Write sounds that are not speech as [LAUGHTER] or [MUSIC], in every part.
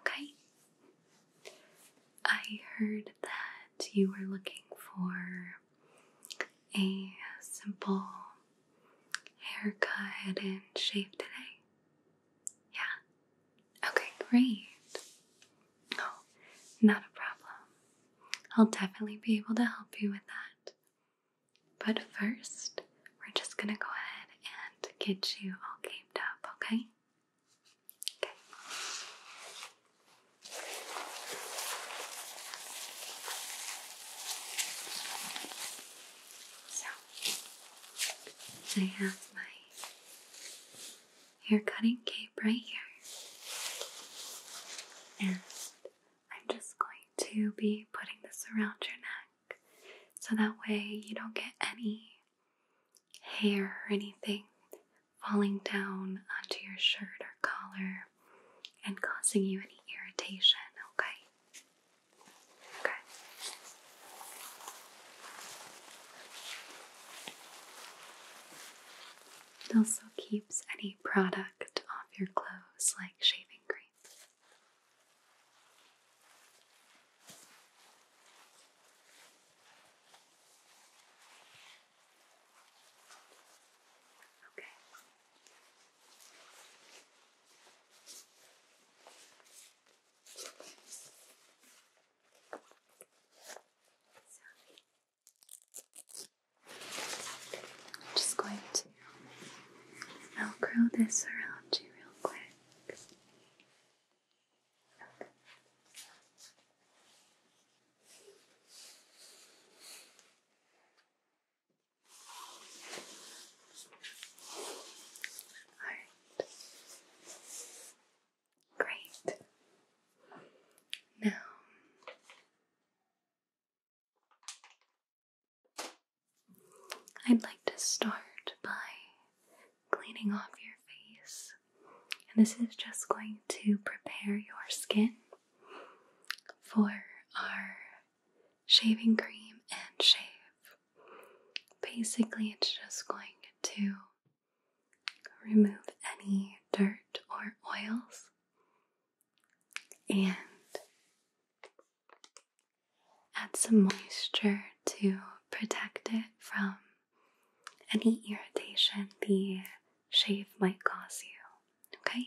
Okay? I heard that you were looking for a simple haircut and shave today. Yeah? Okay, great. No, oh, not a problem. I'll definitely be able to help you with that. But first, we're just gonna go ahead and get you all gamed up, okay? Okay. So, I have my hair cutting cape right here. And I'm just going to be putting this around your neck so that way you don't get any hair or anything falling down onto your shirt or collar and causing you any irritation, okay? Okay. It also keeps any product off your clothes like shaving cream. Okay. Sorry. I'm just going to Velcro this around you real quick back. Alright. Great. Now I'd like to start by cleaning off your face. And this is just going to prepare your skin for our shaving cream and shave. Basically, it's just going to remove any dirt or oils and Add some moisture to protect it from any irritation the shave might cause you, okay?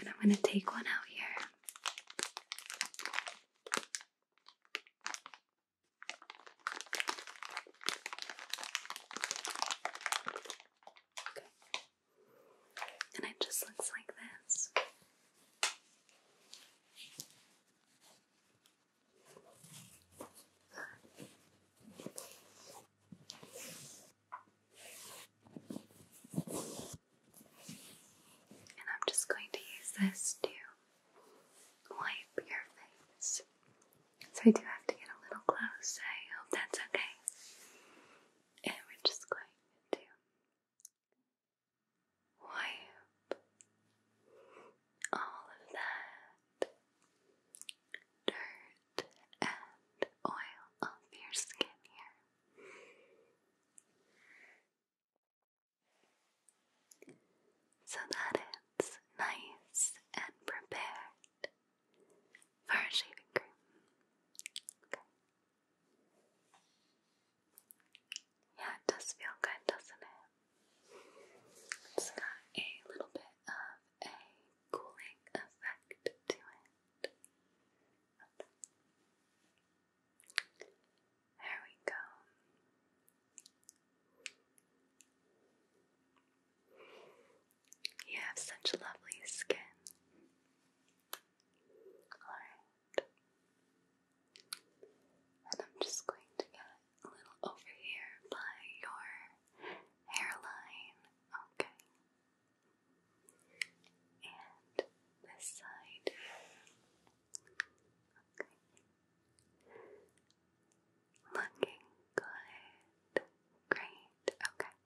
And I'm going to take one out here. Okay. And it just looks like this. And I'm just going to use this to wipe your face. So I do have to get a little close. I hope that's okay. And we're just going to wipe all of that dirt and oil off your skin here so that it's nice and prepared for shaving cream. Okay. Yeah, it does feel good, doesn't it? it got a little bit of a cooling effect to it. There we go. You have such lovely skin. Alright. And I'm just going to get a little over here by your hairline. Okay. And this side. Okay. Looking good. Great. Okay.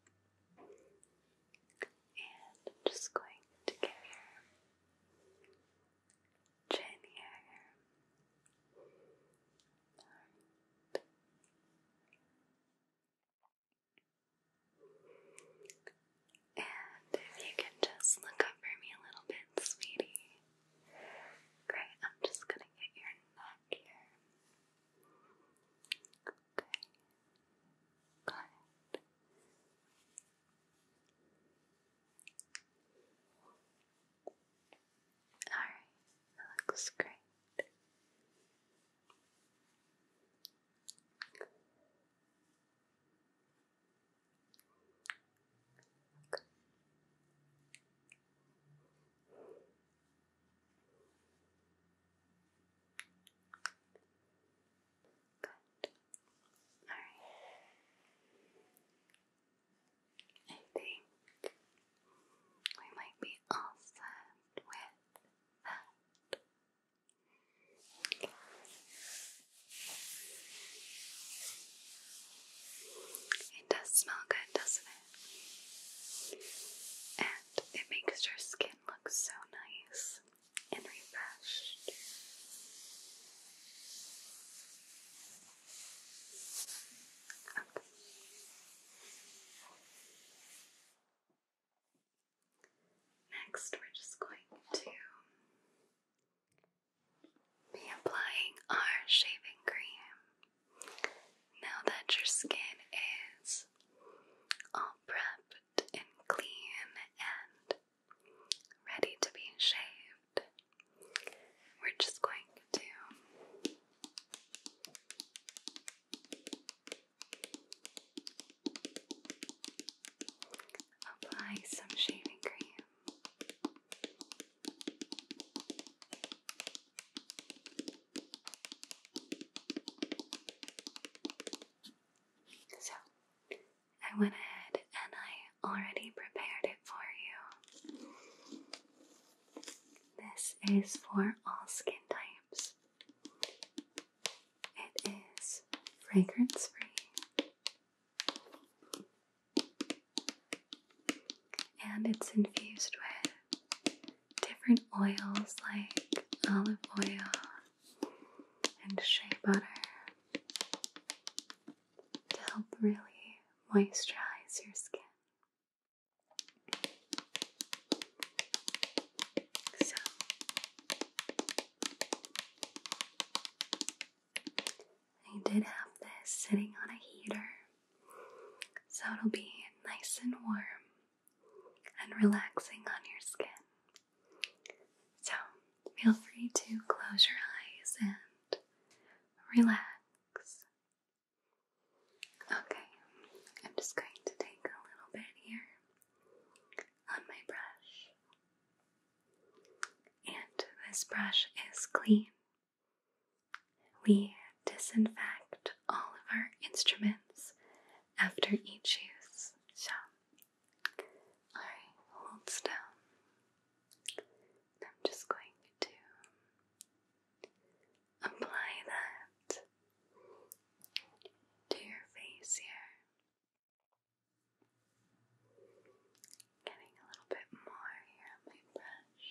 And just going to get your chin here. And if you can just look up for me a little bit, sweetie. Great, I'm just gonna get your neck here. Okay. Got Alright, looks great. Good. Alright. I think we might be all set with that. It does smell good, doesn't it? And it makes your skin look so nice and refreshed. Okay. Next, we're just going to be applying our shaving cream. Now that your skin is all prepped and clean and ready to be shaved, we're just going to Apply some shaving cream. So, I went ahead and I already prepared it for you. This is for all skin types. It is fragrance free and it's infused with different oils like olive oil and shea butter to help really moisturize your skin. So I did have this sitting on a heater, so it'll be nice and warm and relaxing on your skin. So feel free to close your eyes and relax. Okay, I'm just going to take a little bit here on my brush. And this brush is clean. We disinfect all of our instruments after each use. So, alright, hold still. I'm just going to Apply that to your face here. Getting a little bit more here on my brush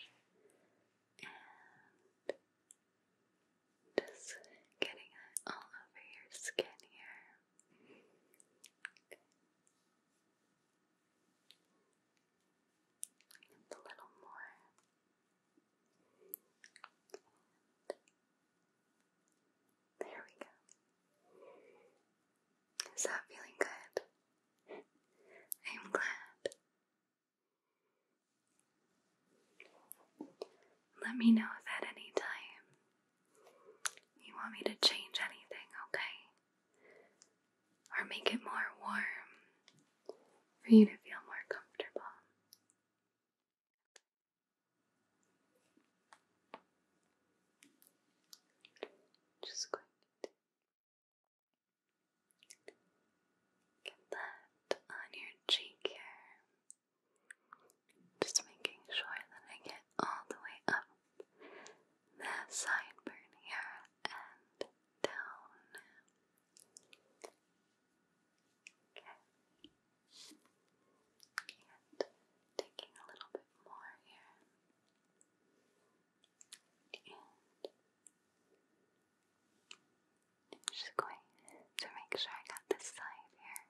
and just getting it all over your skin here. a little more there we go. Is that feeling good? I'm glad. Let me know if at any time you want me to change anything, okay? or make it more warm for you to feel more comfortable. Just going to get that on your cheek here. Just making sure that I get all the way up the sideburn here and down. Okay. And taking a little bit more here. And just going to make sure I got this side here.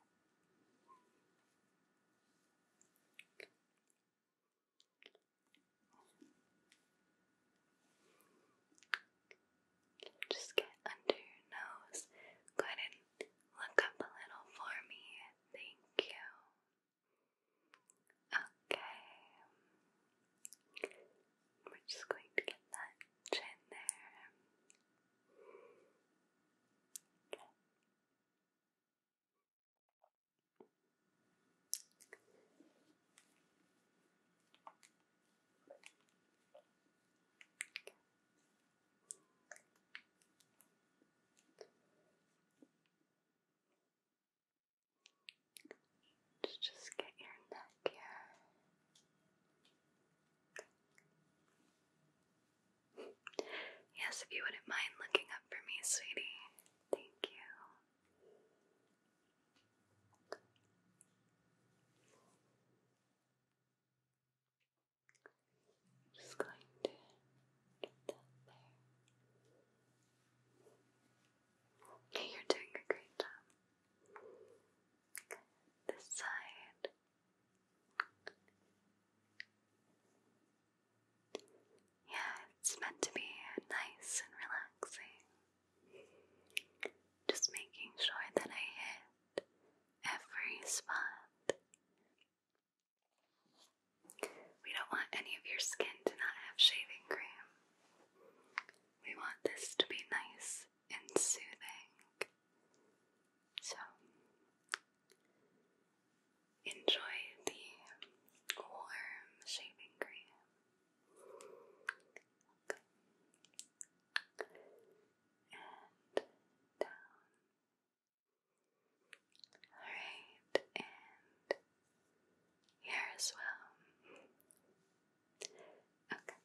Just get under your nose. Go ahead and look up a little for me. Thank you. Okay. We're just going to get that chin there just get your neck here. Yes, if you wouldn't mind looking up for me, sweetie. Thank you. Just going to get that there. You're doing a great job. This side. Yeah, it's meant to be nice and relaxing. Just making sure that I hit every spot. We don't want any of your skin to not have shaving cream. We want this to be nice and soothing. So, enjoy the warm shaving cream and down. Alright, and here as well. Okay.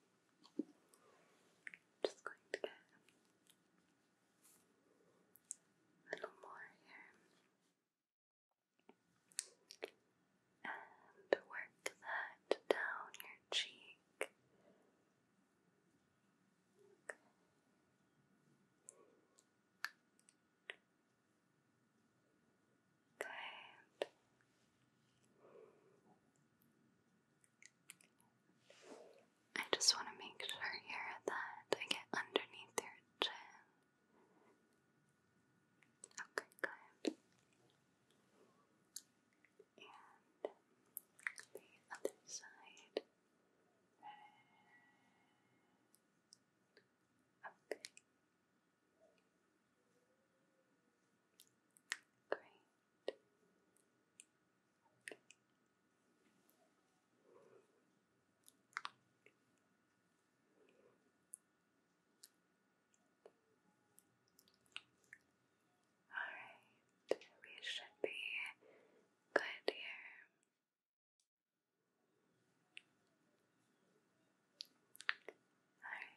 Just going to get a little more here and work that down your cheek. Okay. I just want to make sure here that I get underneath your chin. Okay, good. And the other side. Okay. Great. Okay. Alright, we should be good here. Alright.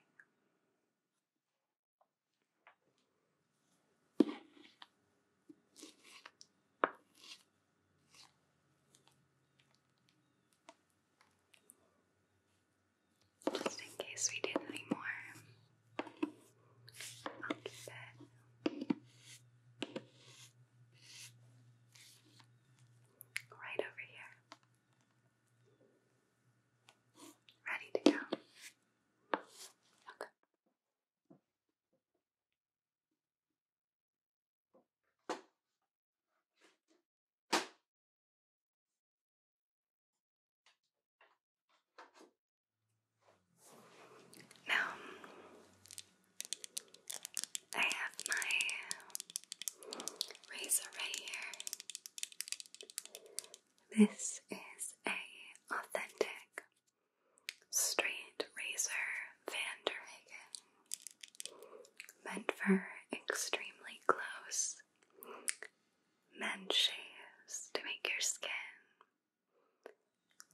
Just in case we did any more, I'll keep it right over here. Ready to go. Okay. Now, I have my razor right here. This is a authentic straight razor Van meant for extremely close men shaves to make your skin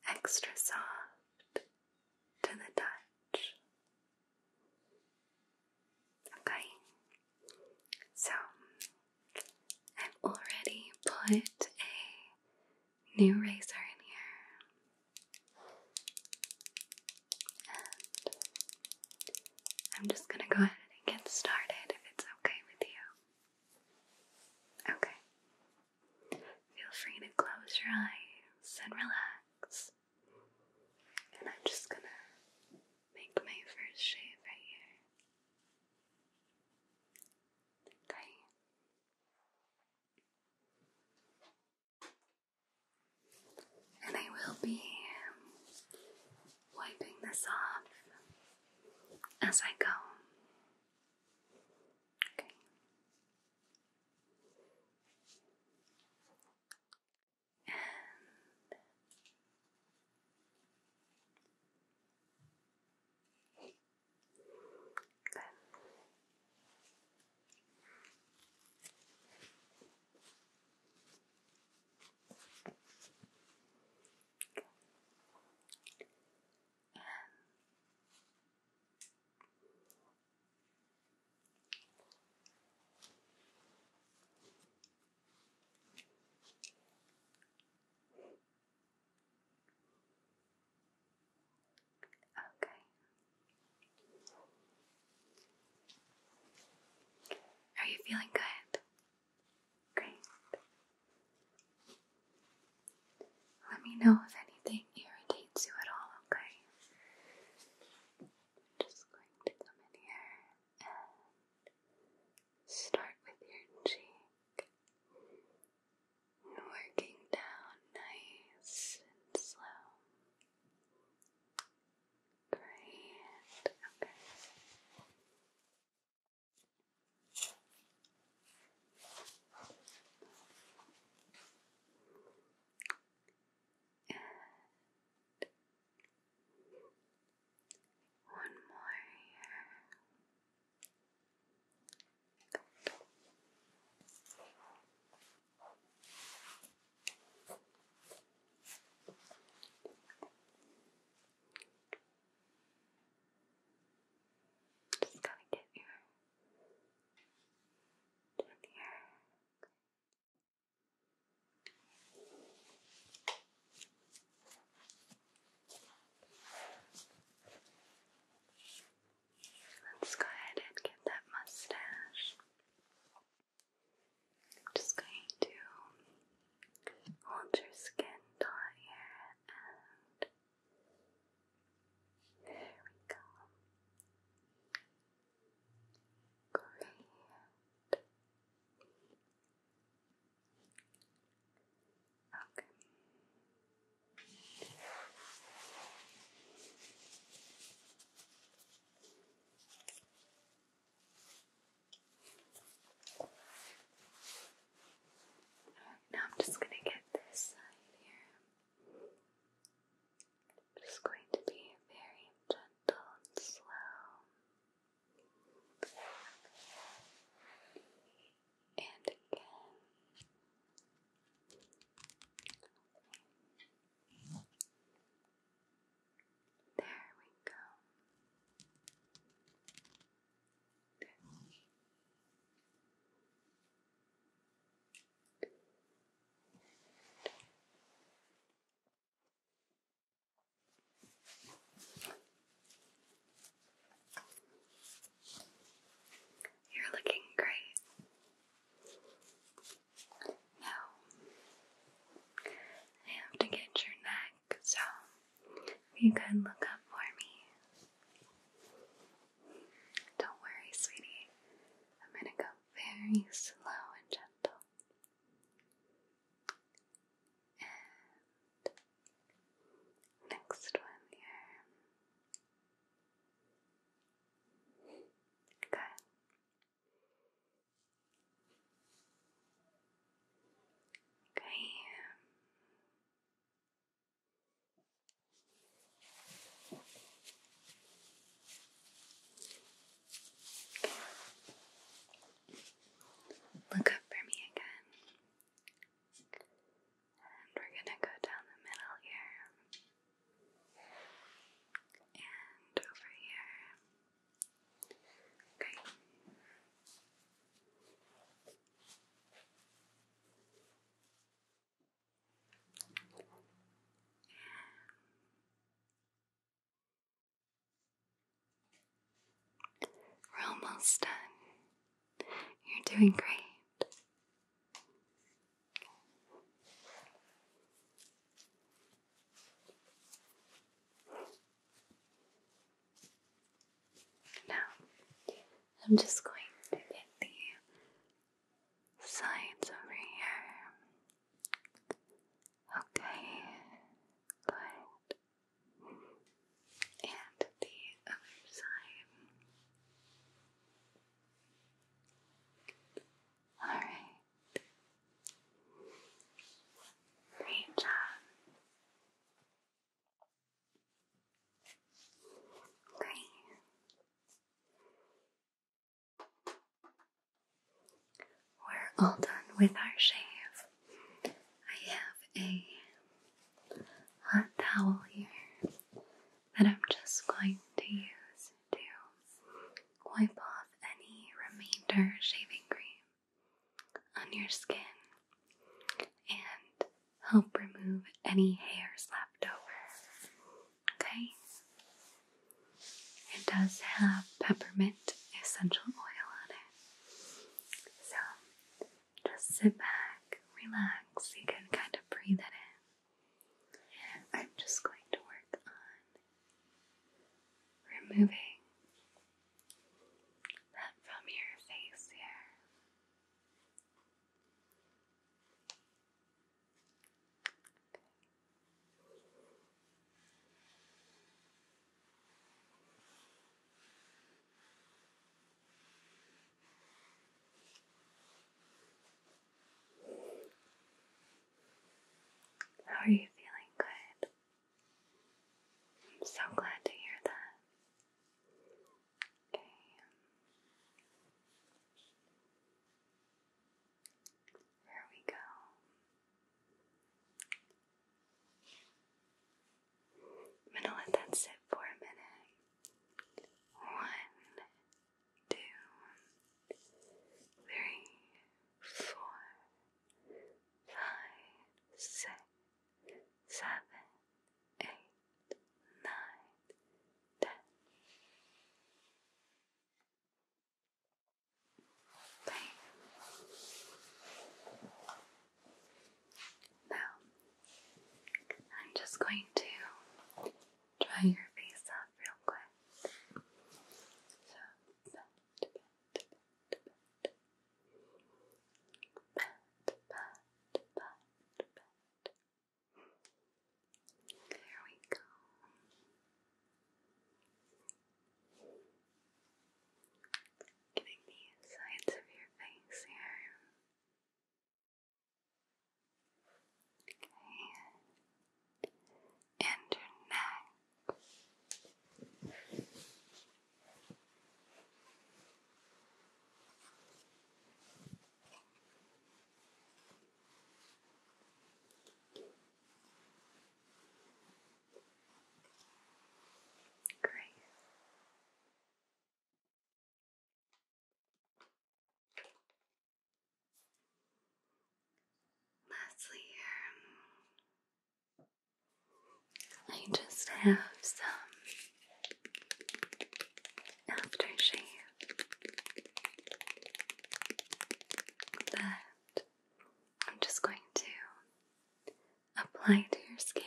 extra soft to the touch. Okay, so I've already put a new razor in here. I'm just going to go ahead and get started if it's okay with you. Okay. Feel free to close your eyes and relax. And I'm just going to make my first shave right here. Okay. And I will be wiping this off as I go. Okay. And Okay, are you feeling good? Great. Let me know if anything irritates you at all, okay? just going to come in here and start with your cheek. Working down nice and slow. Great. Okay. And one more here. Just gotta get your down Let's go ahead and get that mustache. I'm just going to hold your skin taut here and there we go. Great. Okay. Now I'm just going to get this side here. just going to be very gentle and slow. And again. There we go. You're looking great. Now, I have to get your neck, so you can look up for me. Don't worry, sweetie. I'm going to go very slow and gentle. next one here. Good. Okay. Look up for me again. And we're going to go down the middle here and over here. Okay. We're almost done. You're doing great. Now, I'm just going to get the sides over here. Okay, good. And the other side. All right. Great job. Great. We're all done with our shave. I have a hot towel here that I'm just going to use to wipe off any remainder shaving cream on your skin and help remove any hairs left over. Okay? It does have peppermint essential oil on it. So just sit back, relax, you can kind of breathe it in. I'm just going to work on removing that from your face here. How are you feeling? Good. I'm so glad to hear that. Okay. Here we go. I'm going to let that sit for a minute. One, two, three, four, five, six, seven, eight, nine, ten. Bam. Now, I'm just going to dry your face up real quick. So There we go. Getting the sides of your face here. Okay. And your neck. Great. Lastly, um, I just have some aftershave that I'm just going to apply to your skin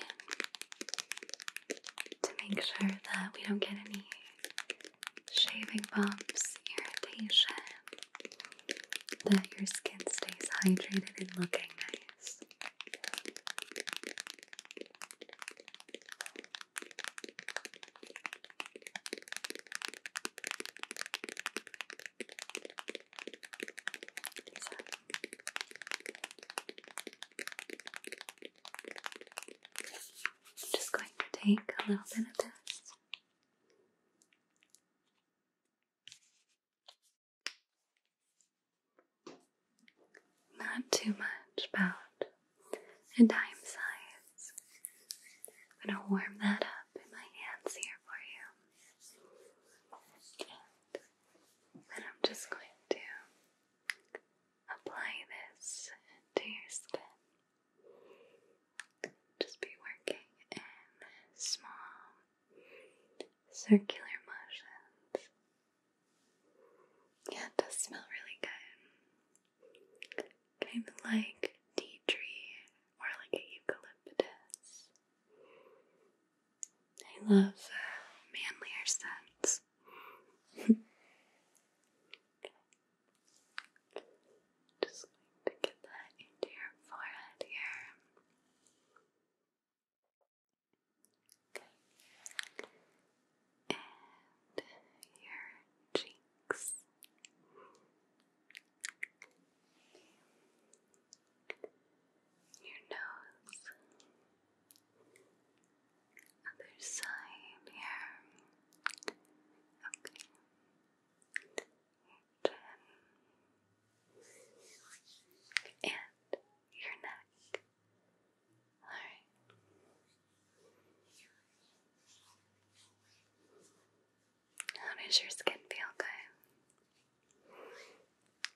to make sure that we don't get any shaving bumps, irritation, that your skin stays hydrated and looking nice. I'm just going to take a little bit of this. Not too much, about a dime size. I'm going to warm that up in my hands here for you. And I'm just going to apply this to your skin. Just be working in small circular motions. Yeah, it does smell really good. Kind of like tea tree or like eucalyptus. I love uh, manlier scents. [LAUGHS] Just going to get that into your forehead here. And your cheeks. Your nose other side here. Okay. and your neck. Alright. How does your skin feel good?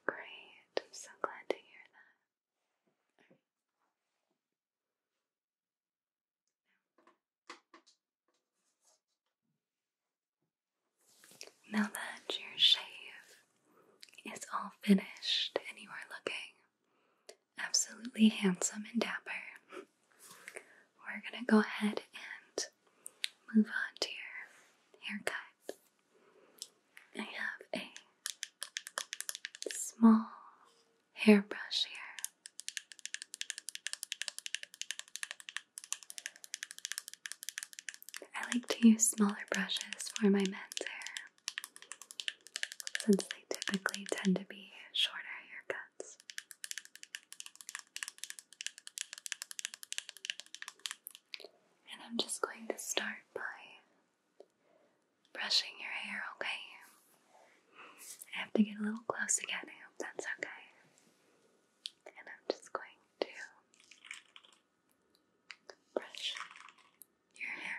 Great. so glad to hear that. Now that your shave is all finished and you are looking absolutely handsome and dapper, we're gonna go ahead and move on to your haircut. I have a small hairbrush here. I like to use smaller brushes for my men's hair since they typically tend to be shorter haircuts. And I'm just going to start by brushing your hair, okay? I have to get a little close again. I hope that's okay. And I'm just going to brush your hair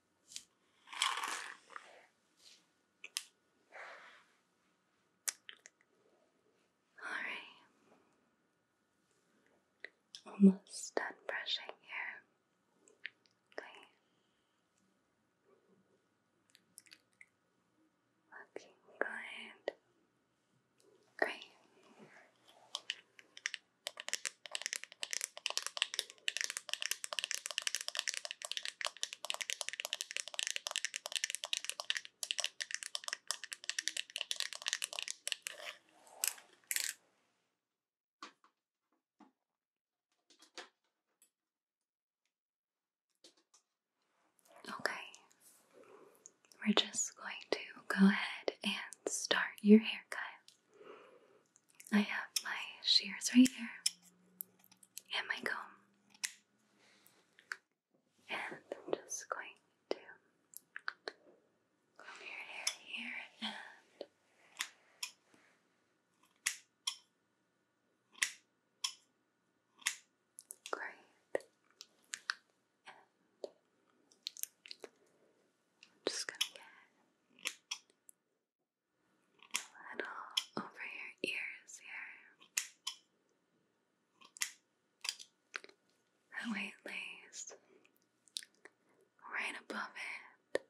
Alright. Almost done brushing here. Okay. Looking good. Great. Okay, we're just going to go ahead and start your haircut. I have my shears right here and my comb. And I'm just going to comb your hair here and Great. And I'm just gonna get a little over your ears here. That it lays right above it.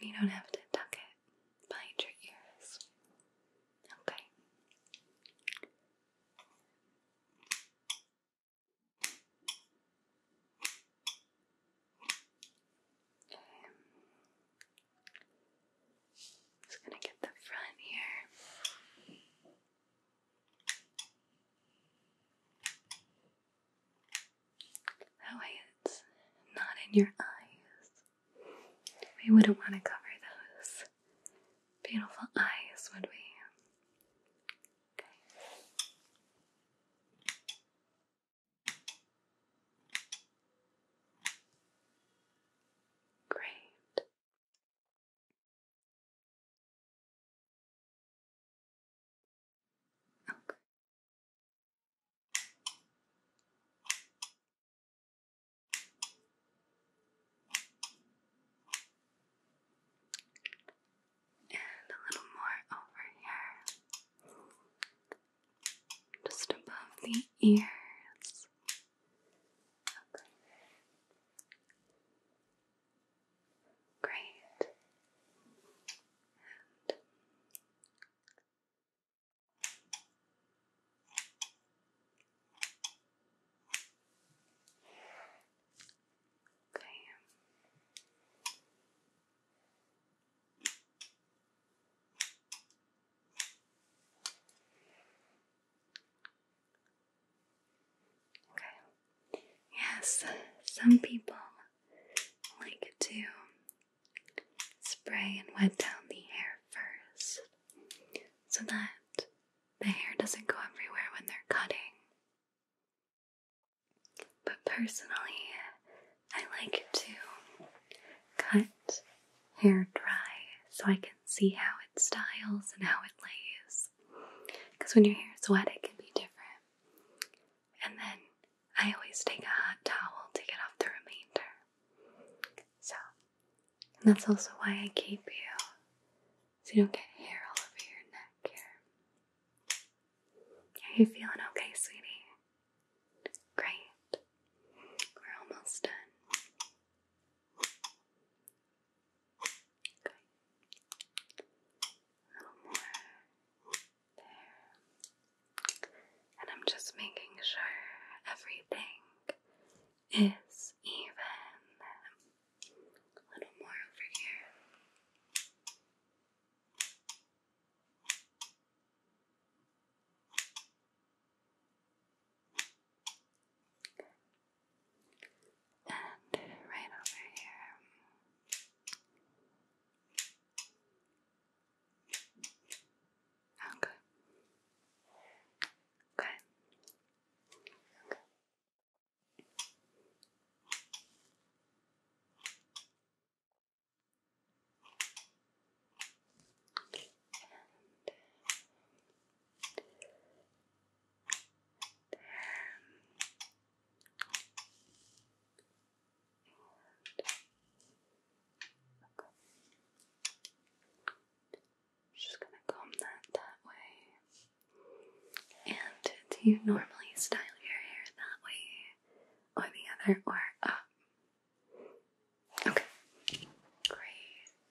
And you don't have to tuck it behind your ears. Okay. Just gonna get the front here. That way it's not in your eyes. We wouldn't want to cover those beautiful eyes, would we? Okay. Great. Okay and a little more over here, just above the ears. Great. And Okay. Yes, some people like to spray and wet down the hair first so that the hair doesn't go everywhere when they're cutting. But personally, I like to cut hair dry so I can see how it styles and how it lays. Because when your hair is wet, it can be different. And then I always take a hot towel to get off the remainder. So, that's also why I keep you so you don't get hair all over your neck here. Are you feeling okay, sweetie? Great. We're almost done. A little more. There. And I'm just making sure everything is even. A little more over here. And right over here. Okay. Okay. Okay just gonna comb that that way. And do you normally style your hair that way? or the other or up. Uh, okay, great.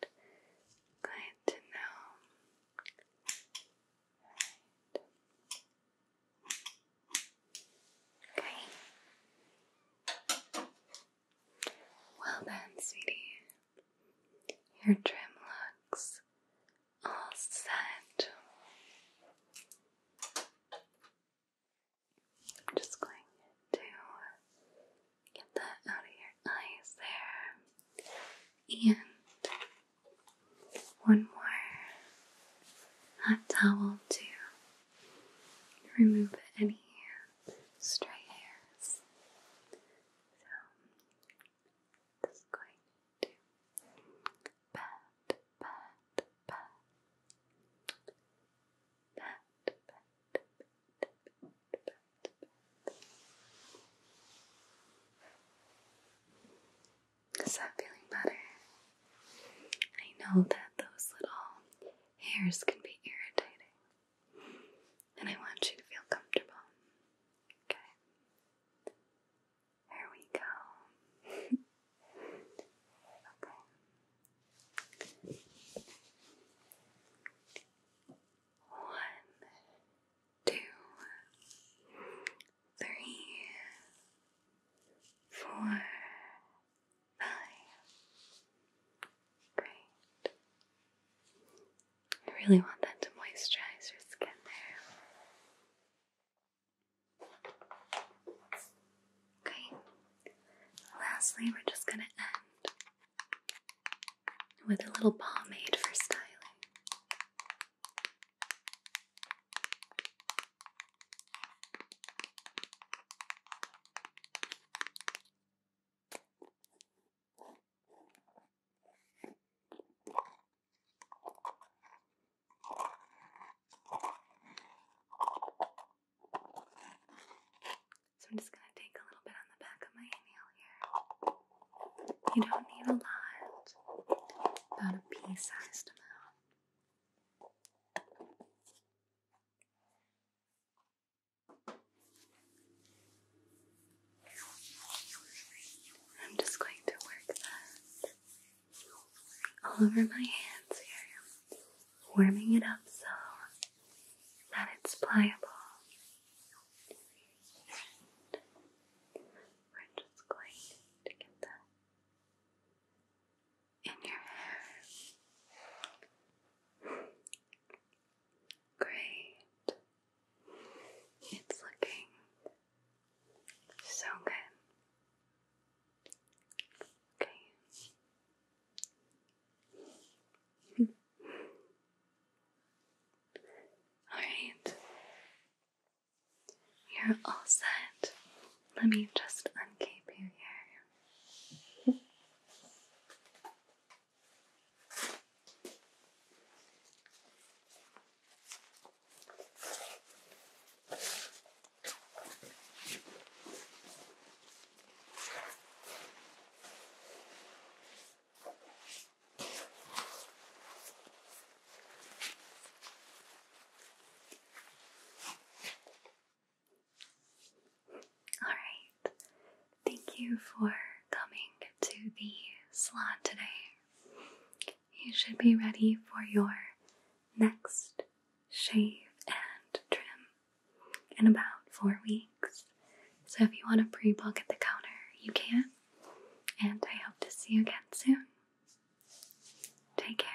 Glad to know. Okay. Well then, sweetie, your trim looks all set. I'm just going to get that out of your eyes there. And one more hot towel to remove any stray hairs. So, just going to is that feeling better? I know that those little hairs can be irritating, and I want you to feel comfortable. Okay? There we go. okay. One, two, three, four, five. Great. I really want that to moisturize your skin there. Okay. Lastly, we're just going to end with a little pomade for styling. So I'm just going to take a little bit on the back of my inhale here. You don't need a lot, about a pea sized amount. I'm just going to work that all over my hands here, warming it up so that it's pliable. we're just going to get that in your hair. Great. It's looking so good. Okay. [LAUGHS] Alright. You're all set. Let me just uncape you here. All right. Thank you for coming to the salon today you should be ready for your next shave and trim in about four weeks. So if you want to pre book at the counter, you can. And I hope to see you again soon. Take care.